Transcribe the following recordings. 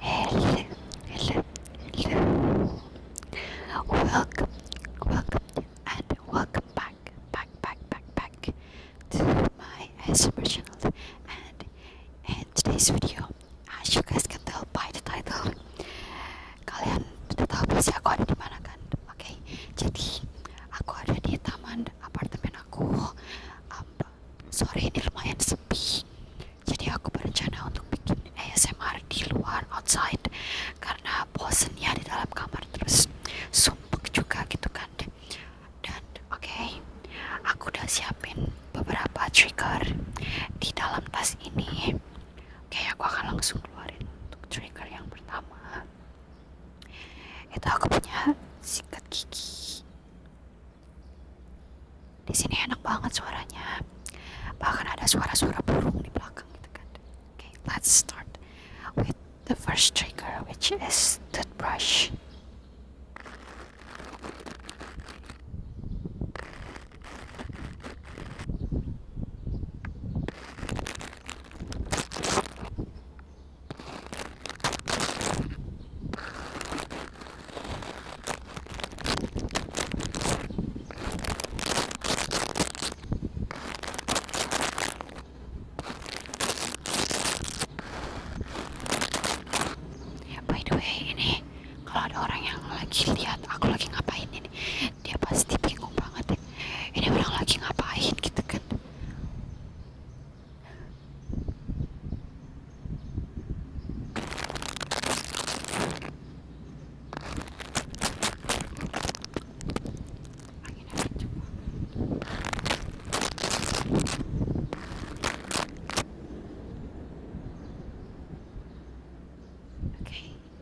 Hello, hello, hello. Welcome, welcome, and welcome back, back, back, back, back to my ASMR channel. And in today's video, as you guys can tell by the title, kalian udah tahu pasti aku ada di mana kan? Oke, jadi aku ada di taman apartemen aku Sorry ini lumayan sepi jadi aku berencana untuk bikin ASMR di luar outside karena bosennya di dalam kamar terus sumpek juga gitu kan dan oke aku udah siapin beberapa trigger di dalam tas ini oke aku akan langsung keluarin untuk trigger yang pertama itu aku punya sikat gigi di sini enak banget suaranya bahkan ada suara-suara burung di belakang gitu kan okay let's start with the first trigger which is toothbrush Ya, by the way ini kalau ada orang yang lagi lihat aku lagi ngapain ini dia pasti bingung banget ya. ini orang lagi ngapain gitu kan Oke,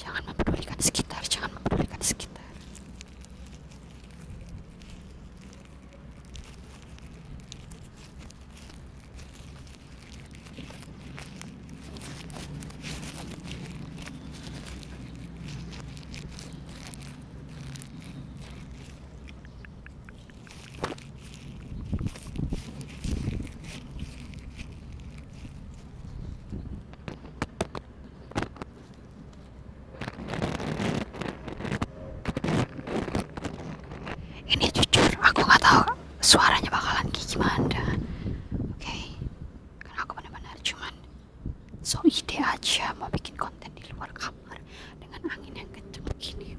jangan mempedulikan sekitar jangan mempedulikan sekitar ini jujur aku nggak tahu suaranya bakalan kayak gimana oke okay. karena aku benar-benar cuman so ide aja mau bikin konten di luar kamar dengan angin yang kenceng begini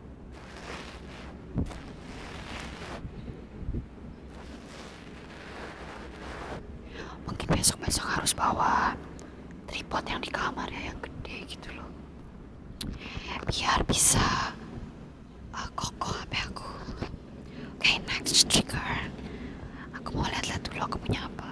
Mungkin besok-besok harus bawa tripod yang di kamar ya yang gede gitu loh. Biar bisa uh, kokoh HP aku. Oke, okay, next trigger. Aku mau lihat-lihat dulu aku punya apa.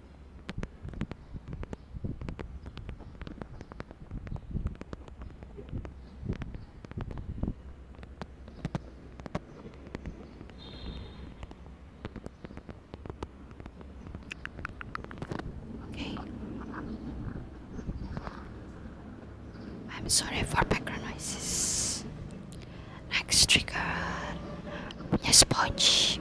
Okay. I'm sorry for background noises. Next trigger. Yes, sponge.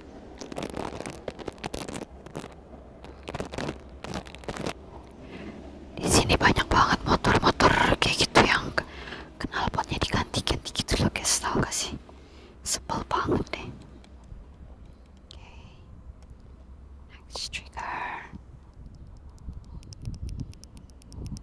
Di sini banyak banget motor-motor kayak gitu yang knalpotnya diganti-ganti gitu loh guys, tahu gak sih? Sebel banget deh. Next trigger.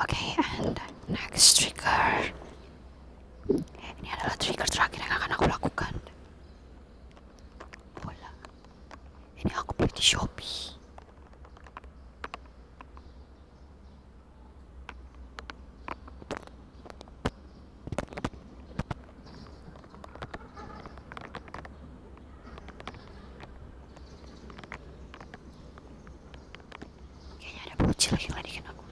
Oke, and next trigger. Ini adalah trigger terakhir yang akan aku lakukan. Bola. Ini aku beli di Kayaknya ada bocil lagi ngelidikin aku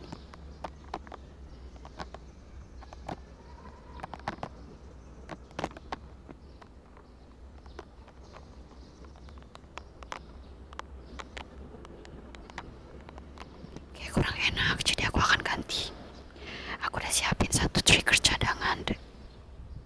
Kayak kurang enak, jadi aku akan ganti. Aku udah siapin satu trigger cadangan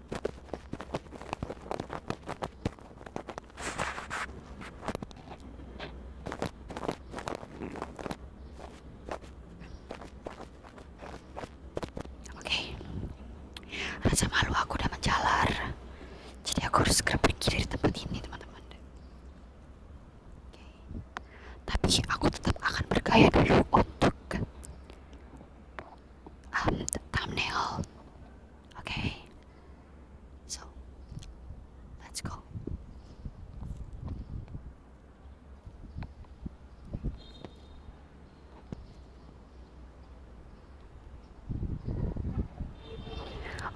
Oke, rasa malu aku udah menjalar, jadi aku harus segera pergi dari tempat ini, teman-teman. Tapi aku tetap akan bergaya dulu untuk um, thumbnail. Okay, so let's go.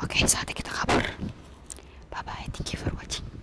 Okay, saatnya kita kabur. Bye bye. Thank you for watching.